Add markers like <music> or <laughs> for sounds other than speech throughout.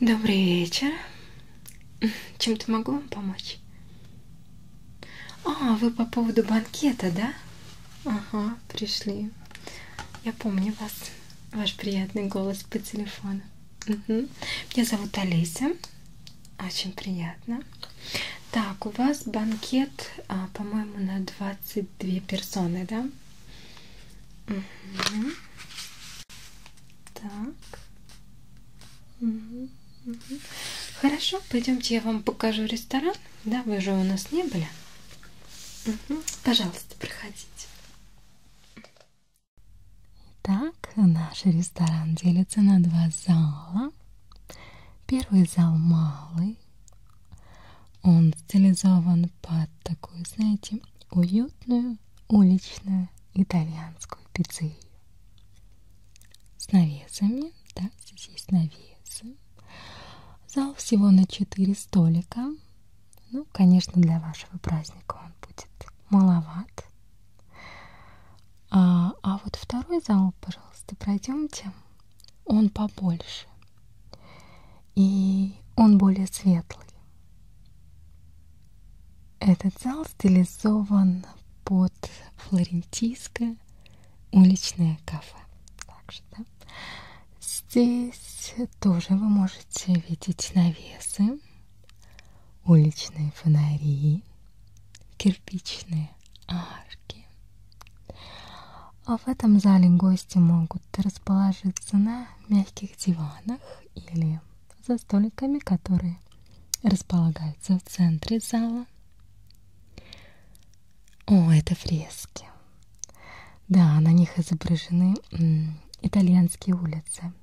Добрый вечер. Чем-то могу вам помочь? А, вы по поводу банкета, да? Ага, пришли. Я помню вас, ваш приятный голос по телефону. Угу. Меня зовут Олеся. Очень приятно. Так, у вас банкет, а, по-моему, на 22 персоны, да? Угу. Так. Угу. Угу. Хорошо, пойдемте я вам покажу ресторан. Да, вы же у нас не были. Угу. Пожалуйста, проходите. Итак, наш ресторан делится на два зала. Первый зал малый. Он стилизован под такую, знаете, уютную, уличную итальянскую пиццерию. С навесами, да, здесь есть навесы. Зал всего на 4 столика. Ну, конечно, для вашего праздника он будет маловат. А, а вот второй зал, пожалуйста, пройдемте. Он побольше. И он более светлый. Этот зал стилизован под флорентийское уличное кафе. Также, да? Здесь тоже вы можете видеть навесы уличные фонари, кирпичные арки. А в этом зале гости могут расположиться на мягких диванах или за столиками, которые располагаются в центре зала. О, это фрески. Да, на них изображены м, итальянские улицы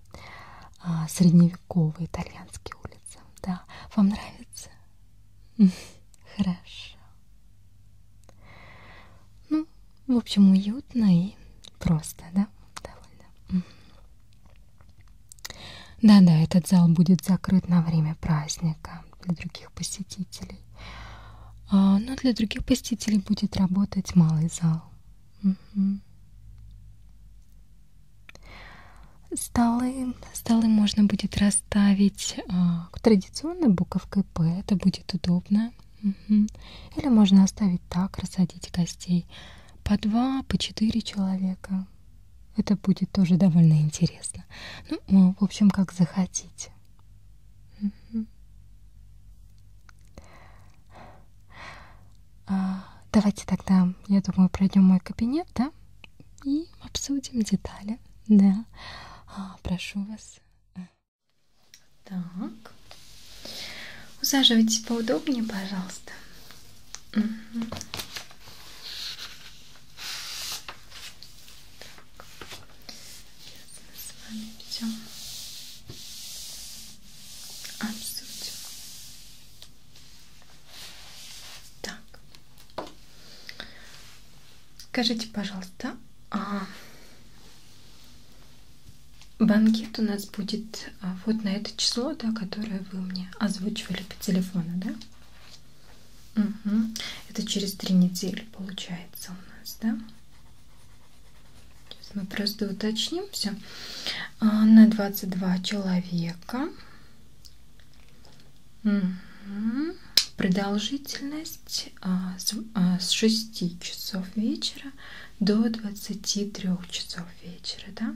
а, средневековые итальянские улицы. Да, вам нравится? <laughs> Хорошо. Ну, в общем, уютно и просто, да? Довольно. Да-да, этот зал будет закрыт на время праздника для других посетителей. А, но для других посетителей будет работать малый зал. Угу. Столы, столы можно будет расставить а, традиционной буковкой П, это будет удобно. Угу. Или можно оставить так, рассадить гостей по два, по четыре человека. Это будет тоже довольно интересно. Ну, а, в общем, как захотите. Угу. А, давайте тогда, я думаю, пройдем мой кабинет, да? И обсудим детали. Да. А, прошу вас. Так. Усаживайтесь поудобнее, пожалуйста. Угу. Так сейчас мы с вами все обсудим. Так, скажите, пожалуйста, а банкет у нас будет а, вот на это число, да, которое вы мне озвучивали по телефону, да? Угу. Это через три недели получается у нас, да? Сейчас мы просто уточним все. А, на 22 человека. Угу. Продолжительность а, с, а, с 6 часов вечера до 23 часов вечера, да?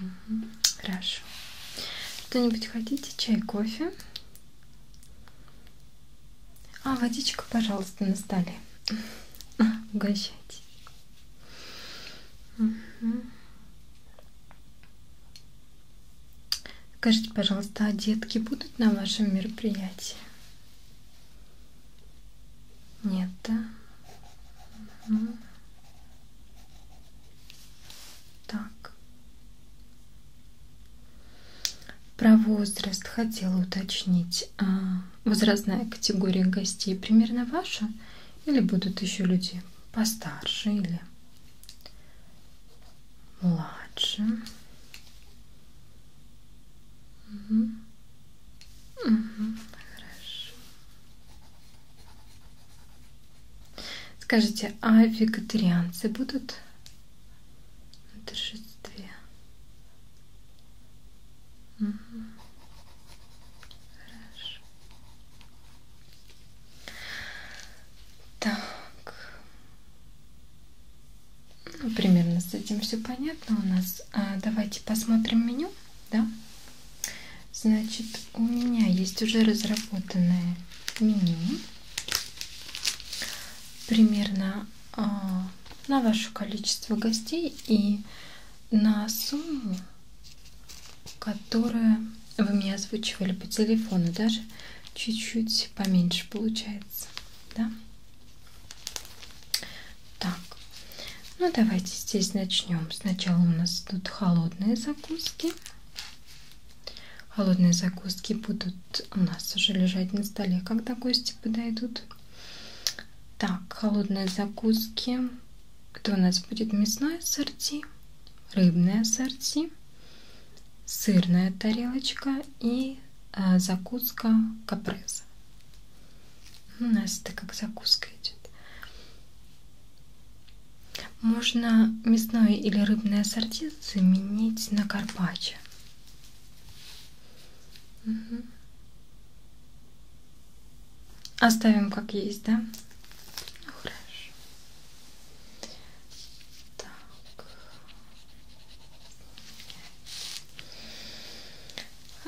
Угу. Хорошо. Что-нибудь хотите? Чай, кофе? А водичка, пожалуйста, на столе. <laughs> Угощайтесь. Угу. Скажите, пожалуйста, а детки будут на вашем мероприятии? Нет, да? Угу. Так. Про возраст хотела уточнить. А возрастная категория гостей примерно ваша? Или будут еще люди постарше или младше? Угу. Угу. Хорошо. Скажите, а вегетарианцы будут на торжестве. Угу. Хорошо. Так. Ну, примерно с этим все понятно у нас. А, давайте посмотрим меню, да? Значит, у меня есть уже разработанное меню. Примерно а, на ваше количество гостей и на сумму, которая вы мне озвучивали по телефону, даже чуть-чуть поменьше получается, да? Так, ну давайте здесь начнем. Сначала у нас тут холодные закуски. Холодные закуски будут у нас уже лежать на столе, когда гости подойдут. Так, холодные закуски. Это у нас будет мясное ассорти, рыбное ассорти, сырная тарелочка и э, закуска капреза. У ну, нас это как закуска идет. Можно мясное или рыбное ассорти заменить на карпаччо. Угу. Оставим как есть, да? Ну, хорошо. Так.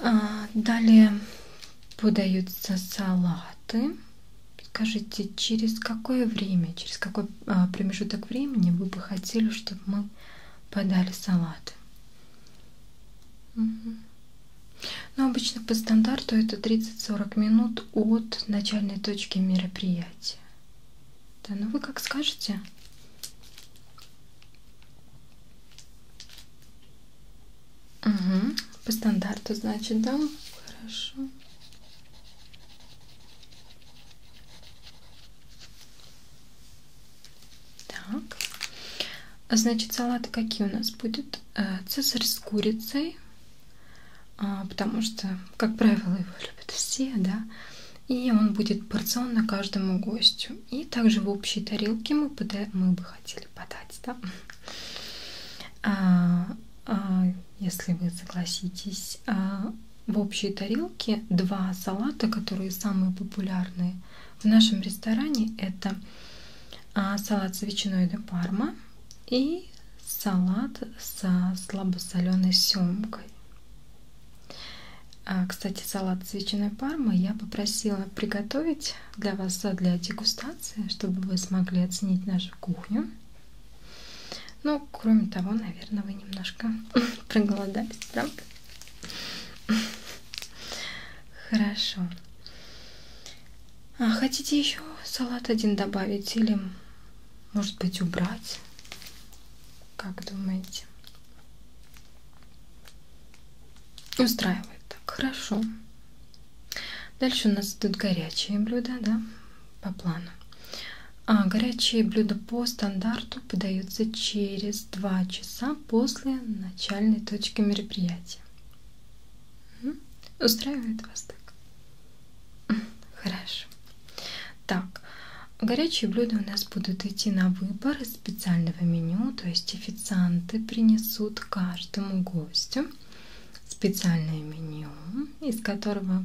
А, далее подаются салаты. Скажите, через какое время, через какой а, промежуток времени вы бы хотели, чтобы мы подали салаты? Угу. Ну, обычно по стандарту это 30-40 минут от начальной точки мероприятия. Да, ну вы как скажете? Угу. По стандарту, значит, да? Хорошо. Так. А значит, салаты какие у нас будут? Э, цезарь с курицей, а, потому что, как правило, его любят все, да. И он будет порционно каждому гостю. И также в общей тарелке мы, пода... мы бы хотели подать, да. А, а, если вы согласитесь, а, в общей тарелке два салата, которые самые популярные в нашем ресторане. Это а, салат с ветчиной де парма и салат со слабосоленой семкой. А, кстати, салат с ветчиной пармы я попросила приготовить для вас для дегустации, чтобы вы смогли оценить нашу кухню. Ну, кроме того, наверное, вы немножко <laughs> проголодались, правда? Хорошо. А хотите еще салат один добавить или, может быть, убрать? Как думаете? Устраивает так, хорошо. Дальше у нас идут горячие блюда, да? по плану. А, горячие блюда по стандарту подаются через 2 часа после начальной точки мероприятия. Угу. Устраивает вас так? Хорошо. Так, горячие блюда у нас будут идти на выбор из специального меню, то есть официанты принесут каждому гостю специальное меню, из которого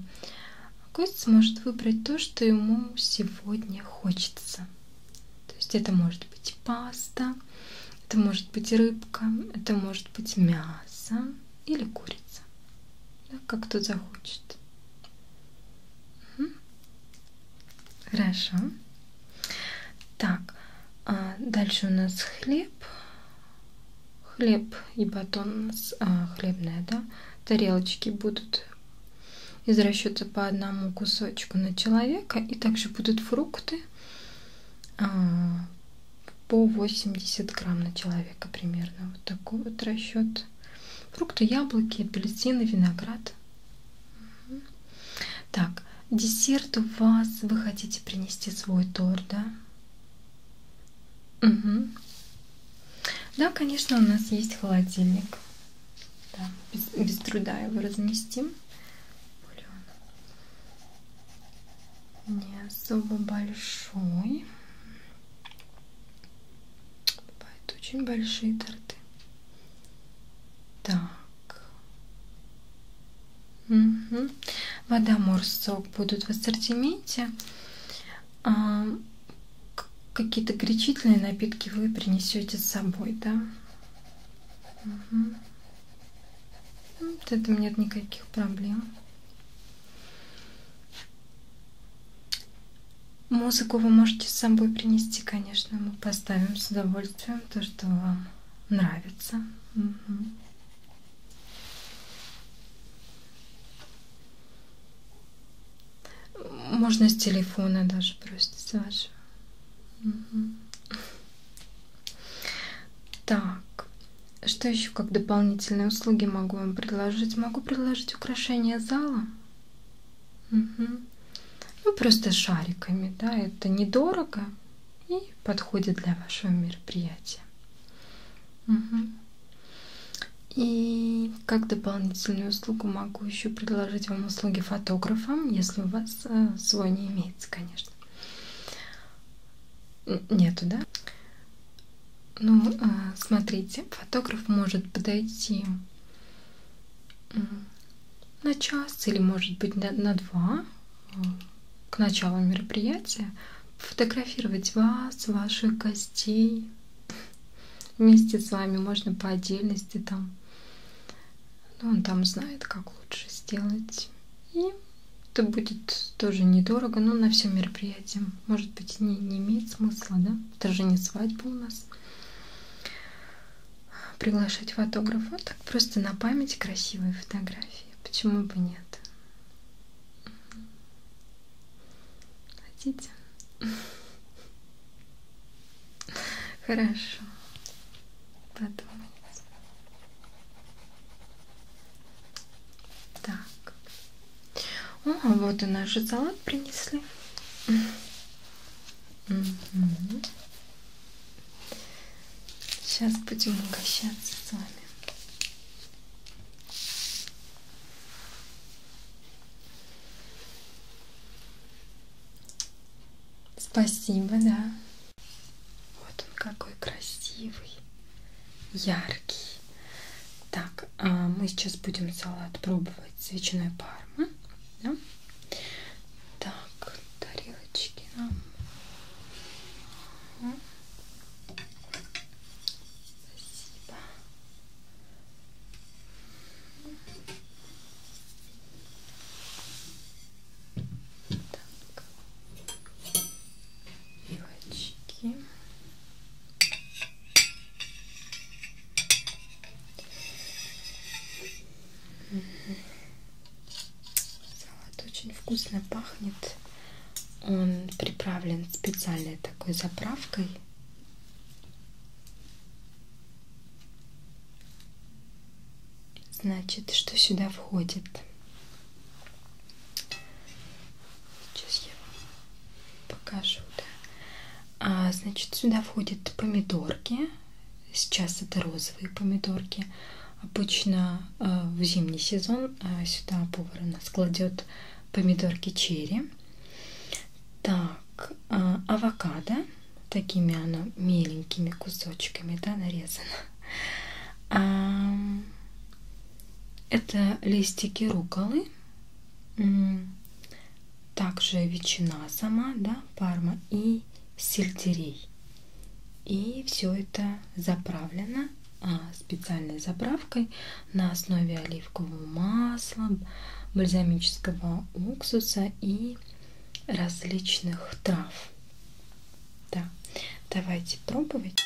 гость сможет выбрать то, что ему сегодня хочется. То есть это может быть паста, это может быть рыбка, это может быть мясо или курица. Да, как кто захочет. Угу. Хорошо. Так, а дальше у нас хлеб хлеб и батон а, хлебная, да, тарелочки будут из расчета по одному кусочку на человека, и также будут фрукты а, по 80 грамм на человека примерно. Вот такой вот расчет. Фрукты, яблоки, апельсины, виноград. Угу. Так, десерт у вас вы хотите принести свой торт, да? Угу. Да, конечно, у нас есть холодильник. Да, без, без труда его разнести. Не особо большой. Бывают очень большие торты. Так. Угу. Вода, морс, сок будут в ассортименте. А, Какие-то горячительные напитки вы принесете с собой, да? Угу. Вот этом нет никаких проблем. Музыку вы можете с собой принести, конечно. Мы поставим с удовольствием то, что вам нравится. Угу. Можно с телефона даже просто с вашего. Угу. Так, что еще как дополнительные услуги могу вам предложить? Могу предложить украшение зала. Угу. Ну, просто шариками, да, это недорого и подходит для вашего мероприятия. Угу. И как дополнительную услугу могу еще предложить вам услуги фотографам, если у вас э, свой не имеется, конечно. Нету, да? Ну, э, смотрите, фотограф может подойти на час или может быть на, на два к началу мероприятия фотографировать вас, ваших гостей. Вместе с вами можно по отдельности там. Ну, он там знает, как лучше сделать. И это будет тоже недорого, но на все мероприятие. Может быть, не, не имеет смысла, да? Это же не свадьба у нас. Приглашать фотографа так просто на память красивые фотографии. Почему бы нет? Хотите? Хорошо. Подумать. Так. О, вот и наш салат принесли. Угу. Сейчас будем угощаться с вами. Спасибо, да. Вот он какой красивый, яркий. Так, а мы сейчас будем салат пробовать с ветчиной парма. Да? Так, тарелочка пальчики нам. Угу. Спасибо. Так. И очки. Угу. Салат очень вкусно пахнет. Он приправлен специальной такой заправкой. Значит, что сюда входит? Сейчас я вам покажу. Да? А, значит, сюда входят помидорки, Сейчас это розовые помидорки. Обычно э, в зимний сезон э, сюда поварона складет помидорки черри. Так, э, авокадо. Такими оно миленькими кусочками, да, нарезано. А, это листики руколы. Также ветчина сама, да, парма и сельдерей. И все это заправлено а, специальной заправкой на основе оливкового масла, бальзамического уксуса и различных трав. Да, давайте пробовать.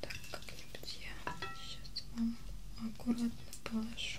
Так, как-нибудь я сейчас вам аккуратно положу.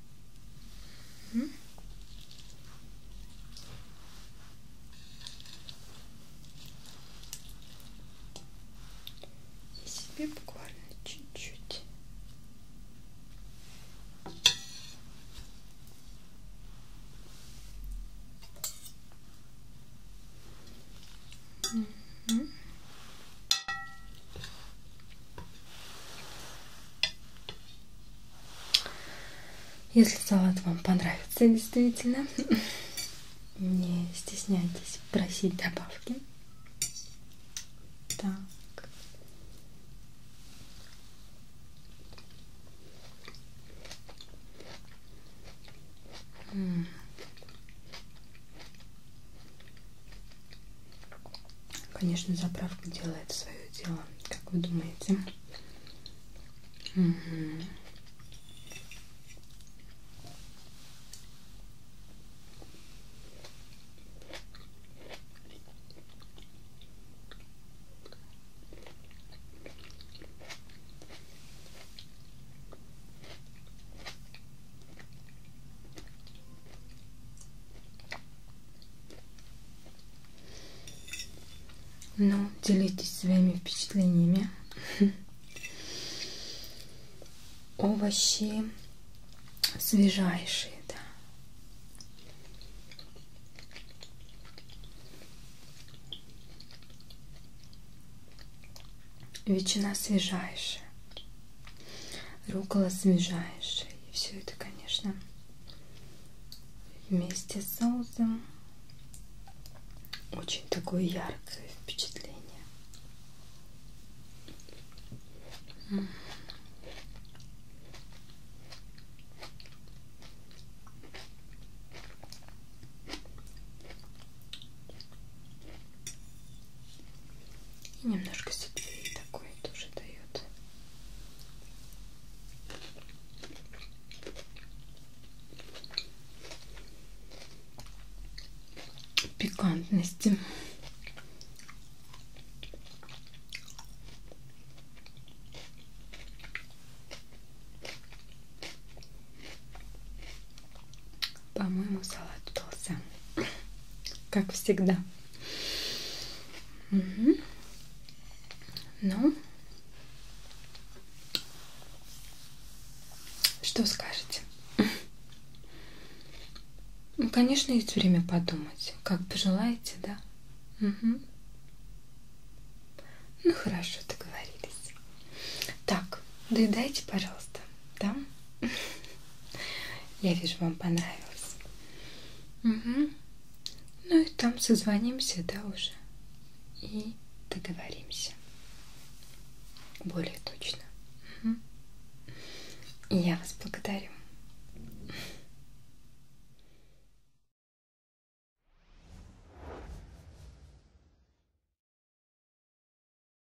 И себе буквально чуть-чуть. Угу. Если салат вам понравится действительно, <laughs> не стесняйтесь просить добавки. Так. М -м. Конечно, заправка делает свое дело, как вы думаете. Угу. Ну, делитесь своими впечатлениями. Овощи свежайшие, да. Ветчина свежайшая рукола освежающая. И все это, конечно, вместе с соусом очень такое яркое впечатление. И немножко сетвей такой тоже дает. Пикантности. По-моему, салат удался. Как всегда. Угу. Ну. Что скажете? Ну, конечно, есть время подумать. Как пожелаете, да? Угу. Ну хорошо, договорились. Так, доедайте, пожалуйста. Да? Я вижу, вам понравилось. Угу. Ну и там созвонимся, да, уже. И договоримся. Более точно. Угу. И я вас благодарю.